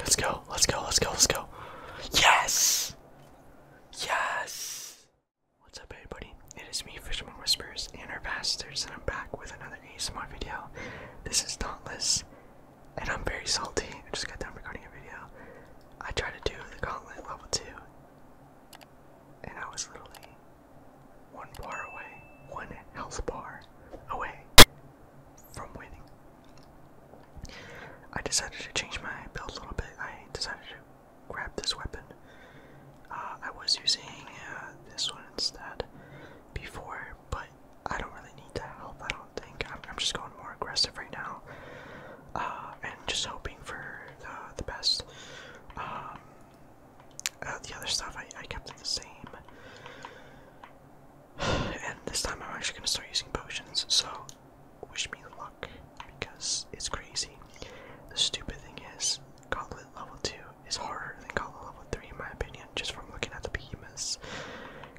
Let's go, let's go, let's go, let's go. Yes! Yes! What's up everybody? It is me, Fisherman Whispers, and our Bastards, and I'm back with another ASMR video. This is Thoughtless and I'm very salty. I just got done recording a video. I tried to do the gauntlet level 2, and I was literally one bar away, one health bar away from winning. I decided to change my build a little bit. I decided to grab this weapon. Uh, I was using uh, this one instead before, but I don't really need that help. I don't think I'm, just going more aggressive right now, uh, and just hoping for the the best. Um, uh, the other stuff I, I kept it the same. And this time I'm actually gonna start using potions, so wish me luck because it's crazy. The stupid thing is, Gauntlet level 2 is harder than Gauntlet level 3 in my opinion, just from looking at the behemoths.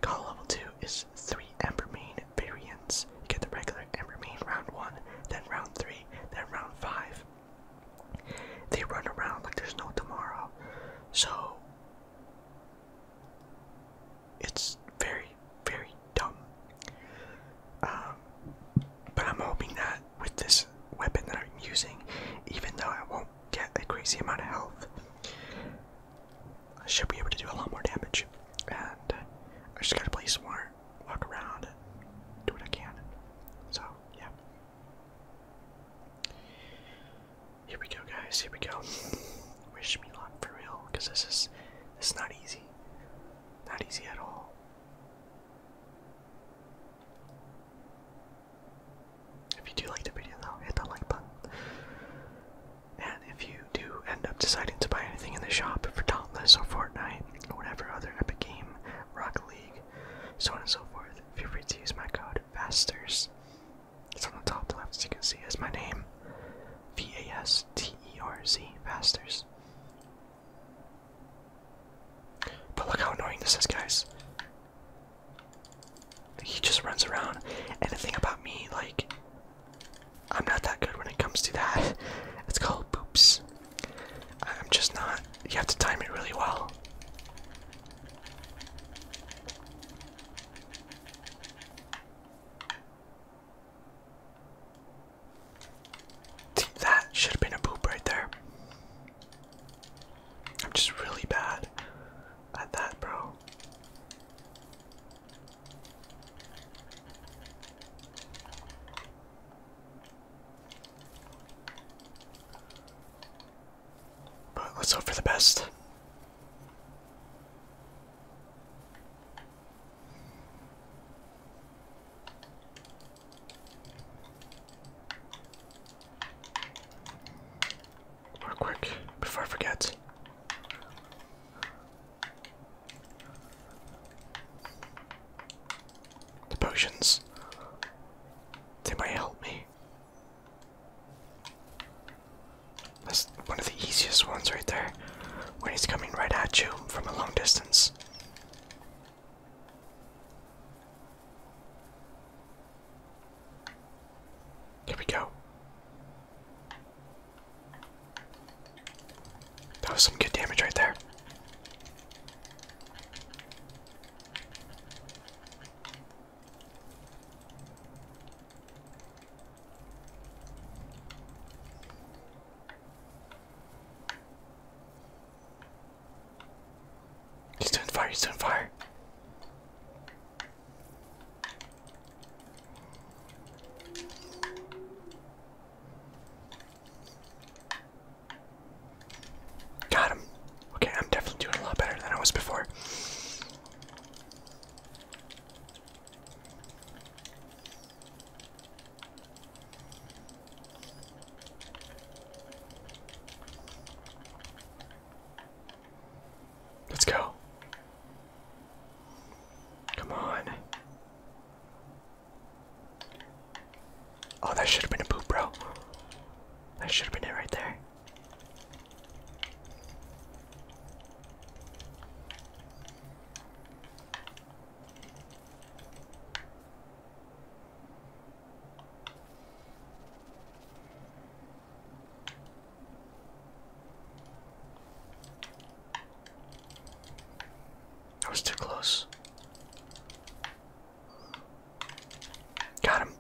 Call level 2 is 3 Embermane variants. You get the regular Embermane round 1, then round 3, then round 5. They run around like there's no tomorrow. So, it's very, very dumb. Um, but I'm hoping that with this weapon that I'm using, even though I won't get a crazy amount of health. I should be able to do a lot more damage. And I just gotta play smart, walk around, do what I can. So, yeah. Here we go, guys. Here we go. Wish me luck for real, because this is this is not easy. Not easy at all. If you do like the video though, hit that like button. And if you do end up deciding to buy anything in the shop for Dauntless or Fortnite or whatever other epic game, Rocket League, so on and so forth, feel free to use my code VASTERS. It's on the top left as you can see is my name. V A S T E R Z Vasters. But look how annoying this is, guys. He just runs around. Anything about me, like, I'm not that good when it comes to that. It's called boops. I'm just not. You have to time it really well. That should have been a boop right there. I'm just really bad at that, bro. But let's hope for the best real quick before I forget. The potions. They might help me. That's one of the easiest ones right there. When he's coming right at you from a long distance. Here we go. That was some good damage right there. He's doing fire, he's doing fire. Got him. Okay, I'm definitely doing a lot better than I was before. Let's go. Come on. Oh, that should have been a poop, bro. That should have been it right there. I was too close. Got him.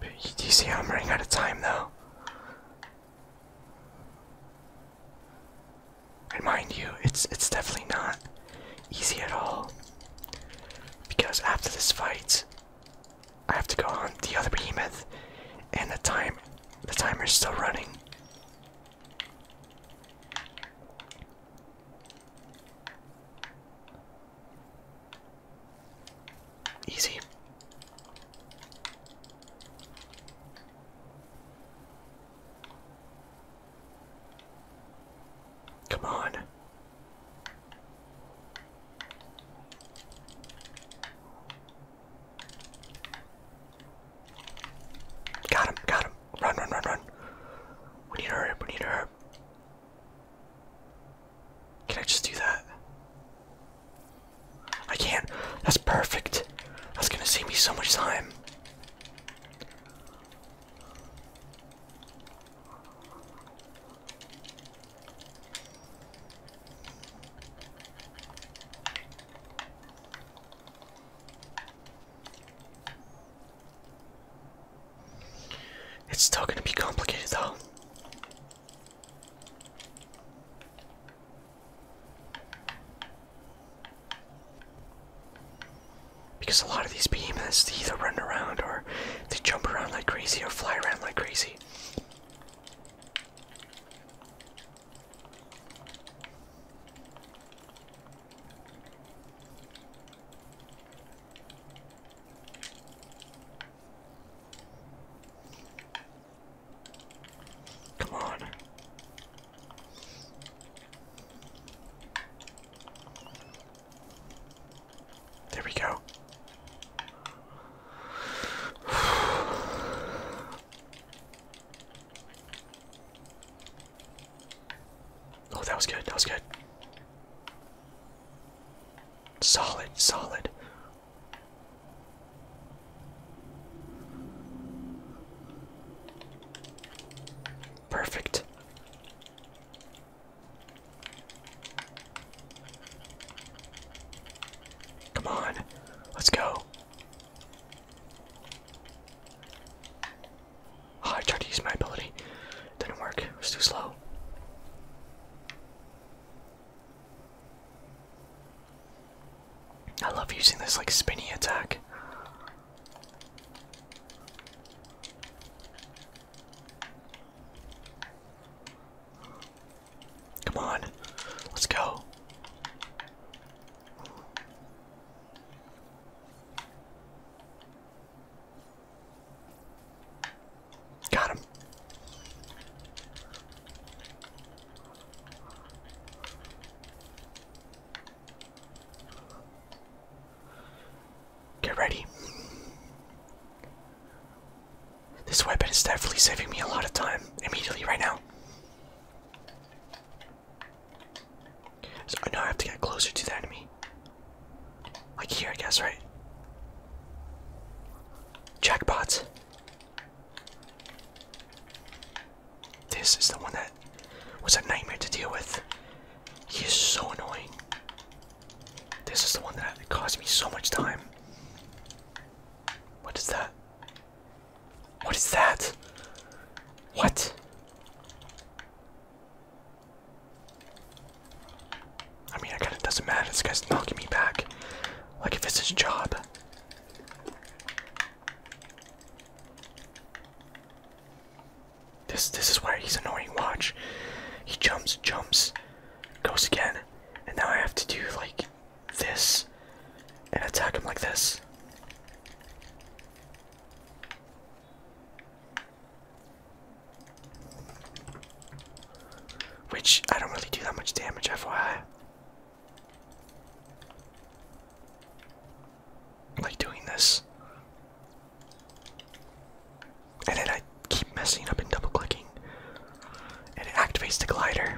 But do you see I'm running out of time though? And mind you, it's it's definitely not easy at all. Because after this fight, I have to go on the other behemoth, and the time the timer is still running. Easy. Come on. Got him, got him. Run, run, run, run. We need to we need to Can I just do that? I can't. That's perfect. That's gonna save me so much time. It's still going to be complicated though. Because a lot of these behemoths they either run around or they jump around like crazy or fly around like crazy. Come on. There we go. Oh, that was good. That was good. Solid, solid. Perfect. Come on, let's go. Ah, I tried to use my ability. Didn't work. It was too slow. I love using this like spinny attack. Come on, let's go. Got him. Get ready. This weapon is definitely saving me a lot of time immediately right now. So now I have to get closer to the enemy. Like here, I guess, right? Jackpot. This is the one that was a nightmare to deal with. He is so annoying. This is the one that caused me so much time. What is that? What is that? What? I mean, I kinda doesn't matter. This guy's knocking me back. Like if it's his job. This this is why he's annoying. Watch, he jumps, jumps, goes again, and now I have to do like this and attack him like this. Which I don't really do that much damage, FYI like doing this. And then I keep messing up and double clicking. And it activates the glider.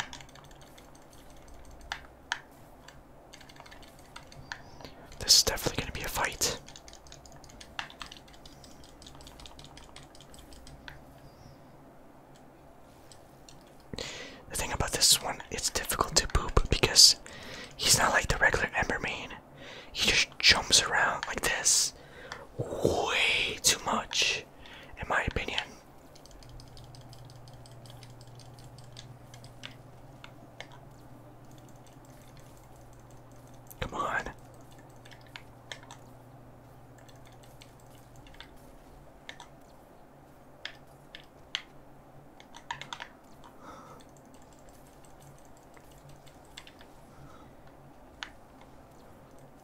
This is definitely going to be a fight. The thing about this one, it's difficult to poop because he's not like the regular Emberman. He just jumps around like this way too much, in my opinion. Come on.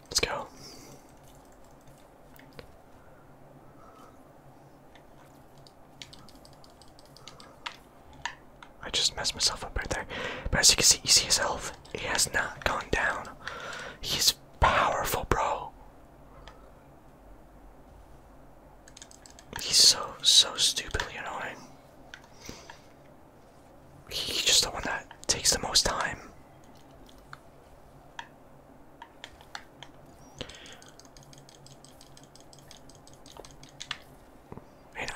Let's go. I just messed myself up right there. But as you can see, you see his health. He has not gone down. He's powerful, bro. He's so, so stupidly annoying. He's just the one that takes the most time.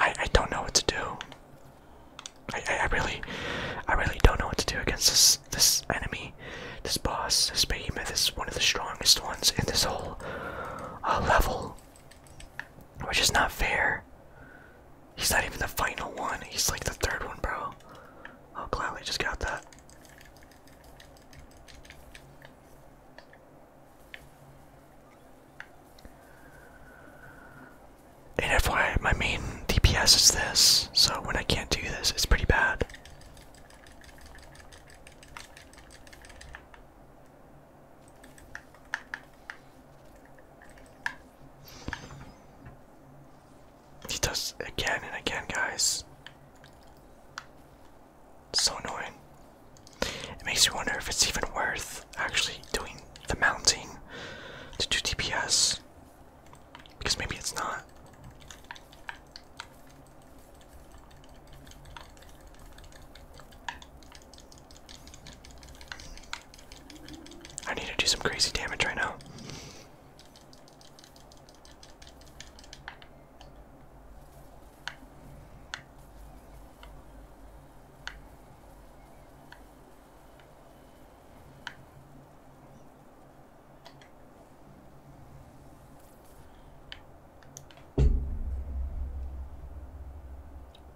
I, I don't know what to do. I, I, really, I really don't know what to do against this, this enemy, this boss, this behemoth is one of the strongest ones in this whole single level, which is not fair. He's not even the final one. He's like the third one, bro. Oh, gladly just got that. And FYI, my main DPS is this, so when I can't do this, it's pretty bad. He does again and again, guys. So annoying. It makes me wonder if it's even worth actually doing the mounting to do TPS, Because maybe it's not. I need to do some crazy damage right now.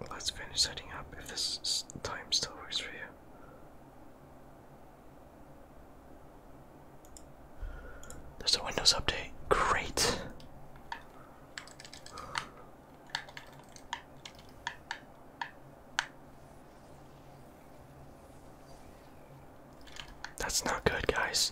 Let's finish setting up if this time still works for you. There's a Windows update. Great. That's not good, guys.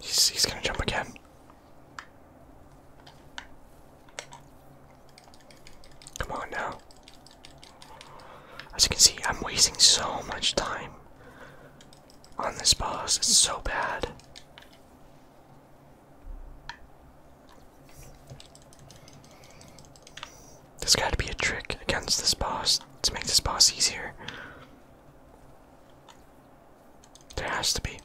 He's, gonna jump again. Come on now. As you can see, I'm wasting so much time on this boss. It's so bad. There's gotta be a trick against this boss to make this boss easier. There has to be.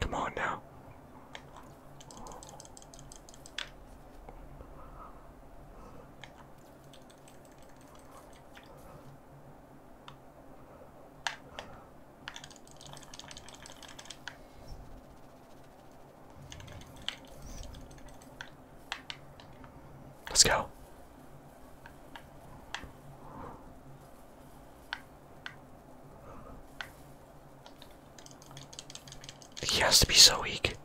Come on now. Let's go. He has to be so weak.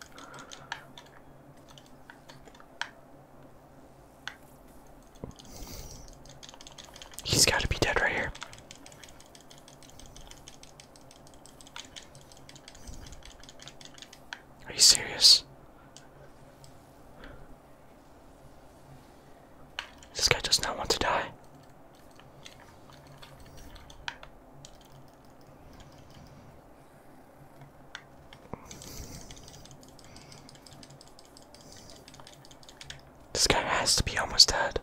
He's got to be dead right here. Are you serious? This guy does not want to die. This guy has to be almost dead.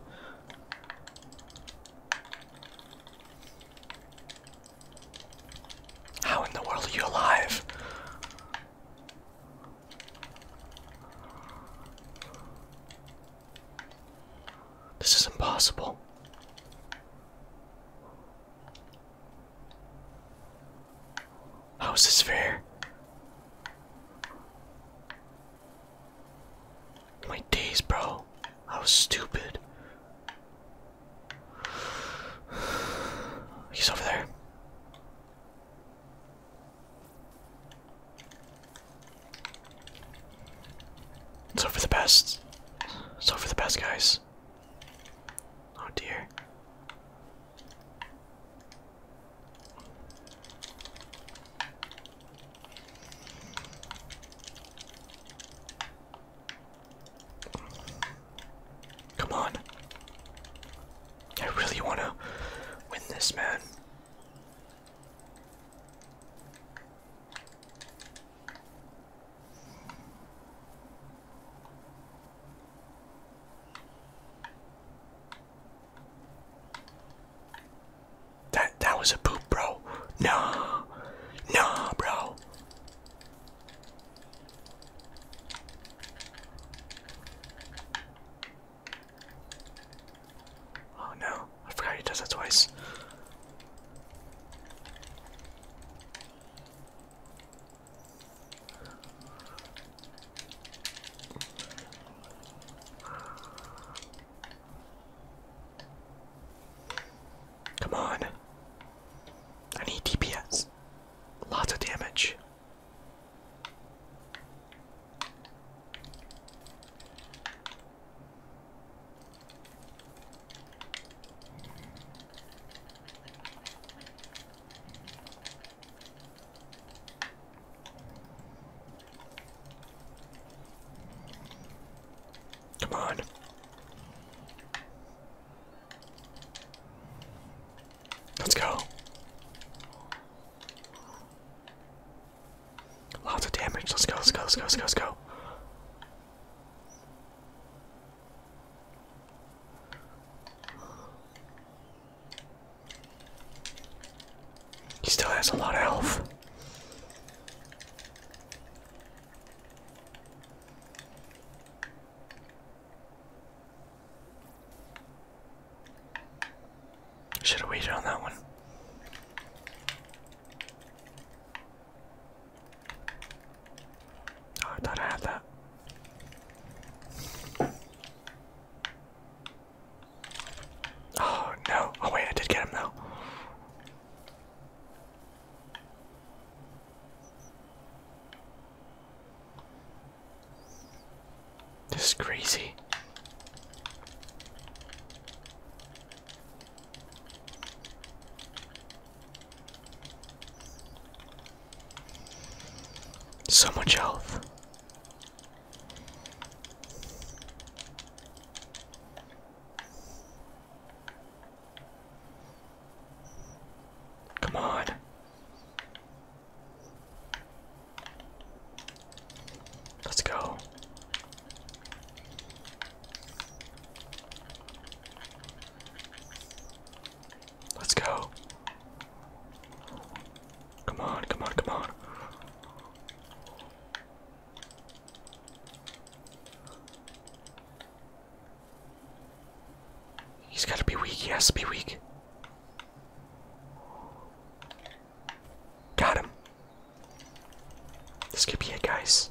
How in the world are you alive? This is impossible. How is this fair? My days, bro. I was stupid. He's over there. It's over the best. It's over the best, guys. Oh dear. Come on. I really want to win this, man. That that was a poop, bro. No, no, bro. Oh no, I forgot he does that twice. Come on. I need DPS. Lots of damage. Come on. Let's go. Lots of damage. Let's go, let's go, let's go, let's go, let's go. He still has a lot of health. Should have waited on that one. Oh, I thought I had that. Oh no. Oh wait, I did get him though. This is crazy. So much health. Come on. Let's go. Let's go. Come on, come on, come on. He's gotta be weak, he has to be weak. Got him. This could be it, guys.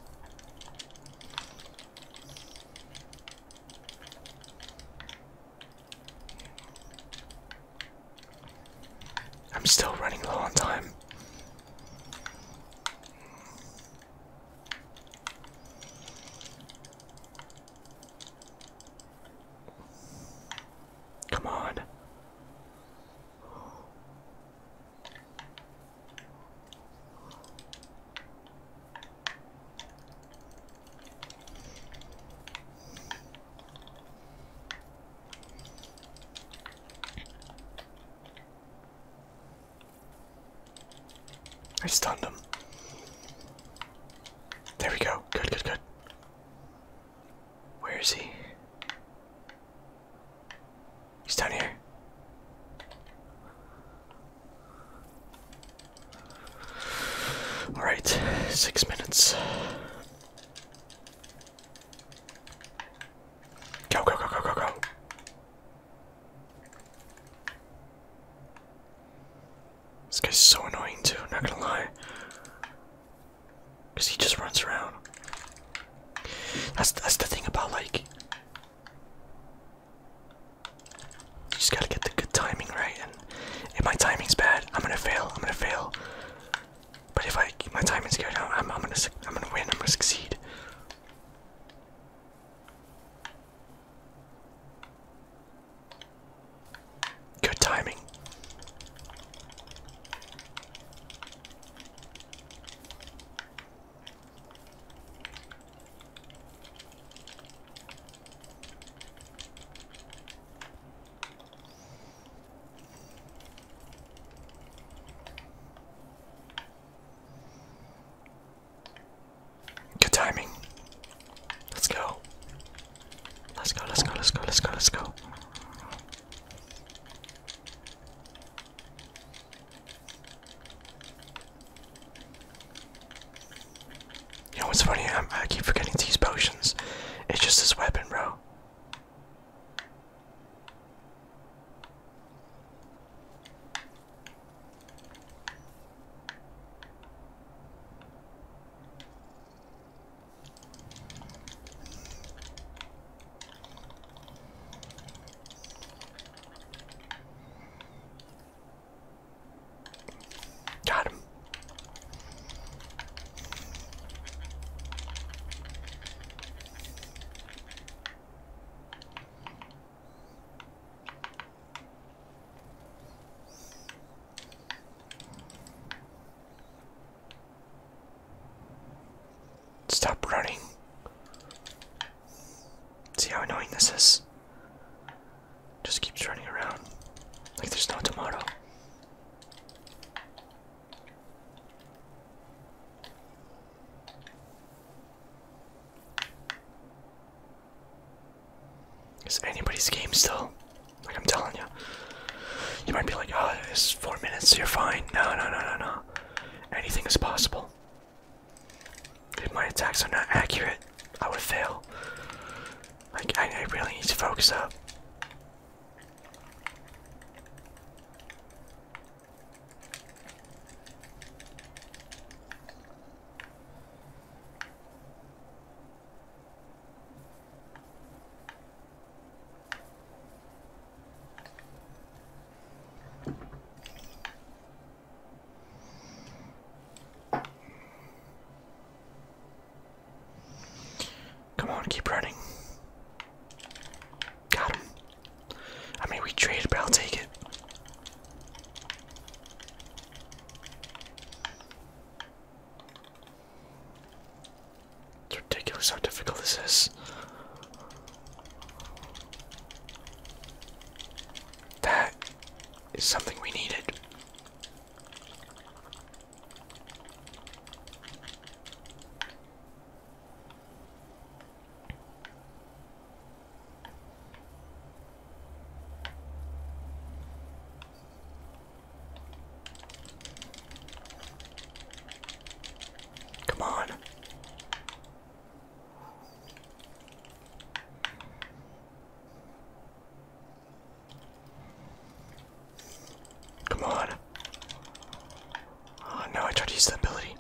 I'm still running low on time. Come on. I stunned him. There we go. Good, good, good. Where is he? He's down here. All right, six minutes. Go, go, go, go, go, go. This guy's so annoying too, not gonna lie. Cause he just runs around. That's that's the thing about like you just gotta get the good timing right, and if my timing's bad, I'm gonna fail. I'm gonna fail. But if I keep my timing's good, I'm gonna I'm gonna win. I'm gonna succeed. Good timing. Good timing. Let's go. Let's go, let's go, let's go, let's go, let's go. You know what's funny? i keep forgetting these potions. It's just this weapon, bro. Got him. Stop running. See how annoying this is? Just keeps running around like there's no tomorrow. Is anybody's game still? Like I'm telling you. You might be like, oh, it's four minutes, you're fine. No, no, no, no, no. Anything is possible. If my attacks are not accurate, I would fail. Like, I, I really need to focus up. Come on, keep running. Got him. I mean, we traded, but I'll take it. It's ridiculous how difficult this is. That is something we needed. Come on. Come on. Oh no, I tried to use the ability.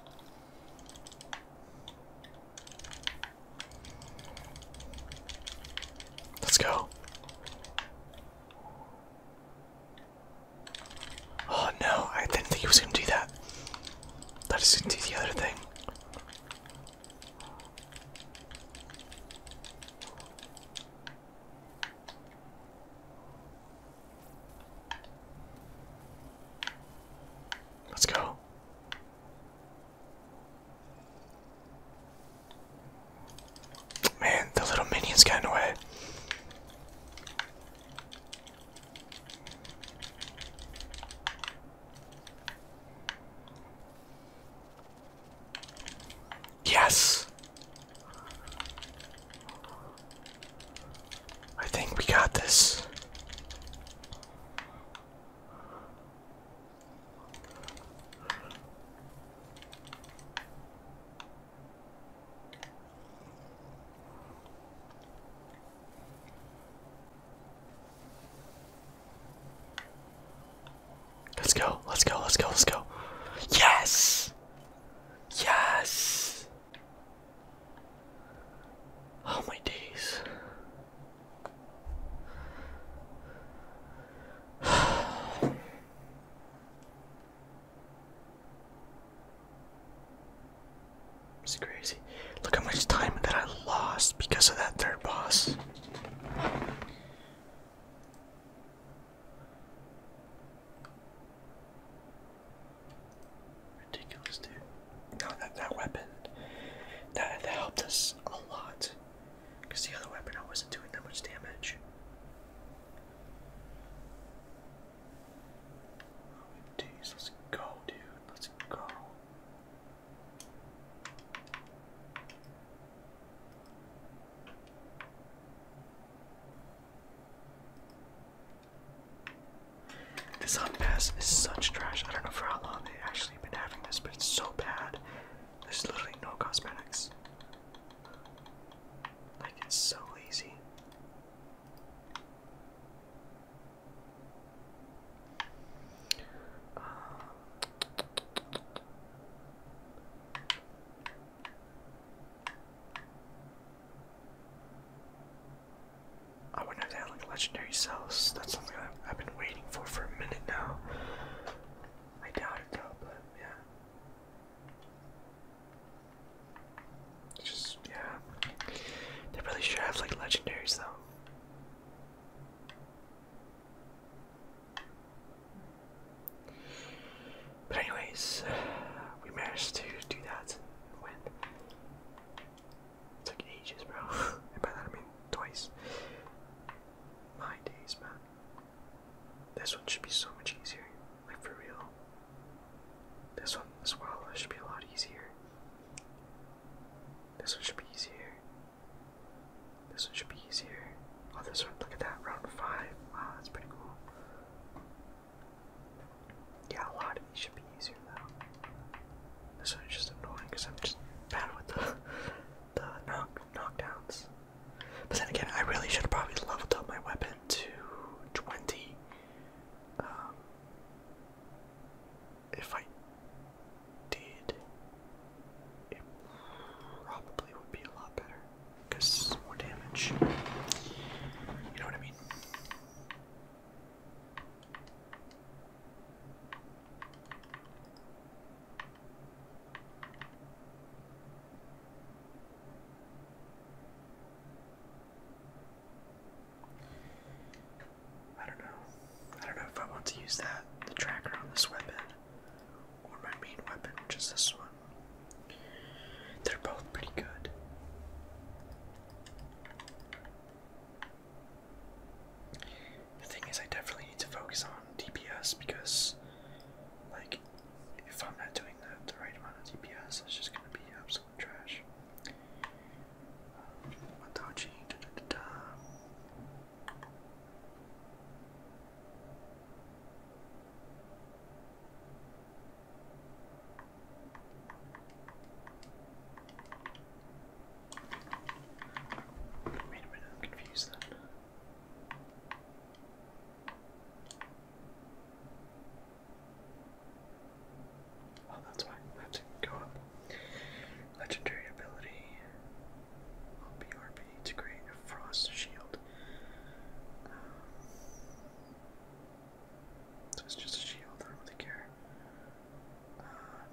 Let's go. Oh no, I didn't think he was gonna do that. That is gonna do the other thing. Let's go. Man, the little minions got in Yes. I think we got this. Let's go, let's go, let's go, let's go. Yes! Yes! Oh my days. It's crazy. Look how much time that I lost because of that third boss. Ridiculous, dude. No, that that weapon that that helped us a lot. Cause the other weapon I wasn't doing that much damage let's go, dude. Let's go. This on pass is such trash. I don't know for how long they've actually been having this, but it's so bad. There's literally no cosmetics. Like, it's so lazy. I wonder if they had like legendary cells. That's something I've, I've been waiting for for a minute now. I doubt it though, but yeah. Just yeah. They really should have like legendaries though. But anyways, we managed to do that It took ages, bro. and by that I mean twice. My days, man. This one should be so much easier. Like for real. This one, this wild life should be a lot easier. This one should be easier. This one should be easier. Oh, this one, look at that, round five. Wow, that's pretty cool. Yeah, a lot of these should be easier though. This one's just annoying because I'm just bad with the, the knock, knockdowns. But then again, I really should have probably leveled up my weapon to 20. Um, if I did, it probably would be a lot better because more damage. You know what I mean? I don't know. I don't know if I want to use that, the tracker on this weapon, or my main weapon, which is this one. They're both pretty good. The thing is, I definitely need to focus on DPS because, like, if I'm not doing the, the right amount of DPS, it's just gonna be absolutely trash. Wait a minute, I'm confused then. Oh, that's why. That's it. Go up. Legendary ability. OPRP to create a frost shield. Um, so it's just a shield. I don't really care. Uh,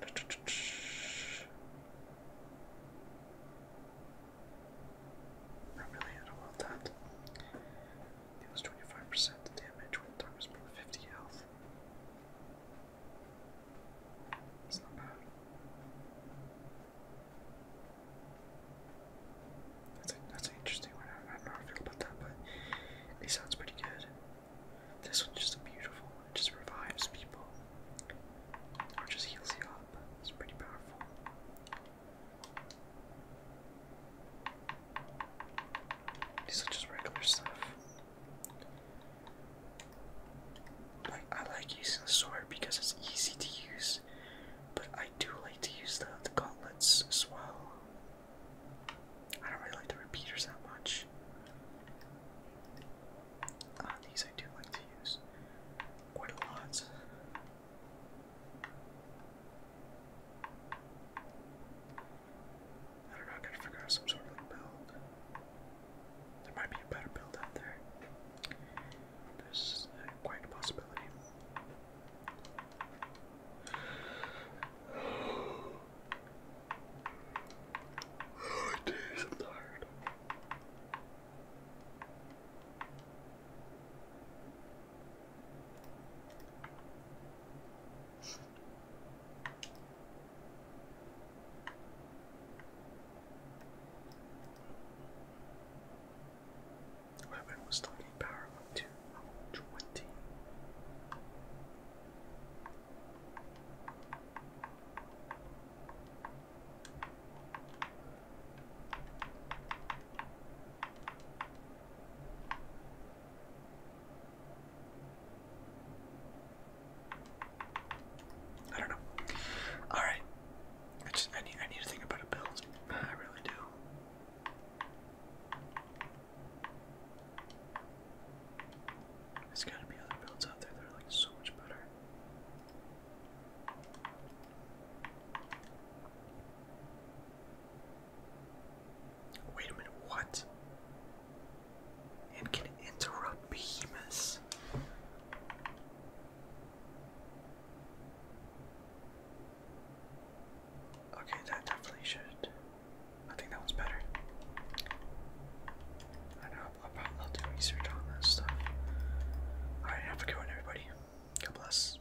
not really. I don't want that deals 25% damage when the target is below 50 health. It's not bad. That's, that's an interesting one. I don't know how I feel about that, but it sounds pretty good. This one's just beautiful It just revives people. Or just heals you up. It's pretty powerful. These are just regular stuff. Like I like using the sword because it's easy to use, but I do like to use the, the gauntlets as well. I don't really like the repeaters that much. Uh, these I do like to use quite a lot. I don't know, to figure out some sort of build. There might be a better build out there. There's uh, quite a possibility. I'm tired. Weapon was talking power up to level 20. I don't know. All right, I just I need I need to think about a build. I really do. There's gotta be other builds out there that are like so much better. Wait a minute, what? And can interrupt Behemoth. Okay, that definitely should. I think that one's better. I know, I'll do research on this stuff. Alright, have a good one, everybody. God bless.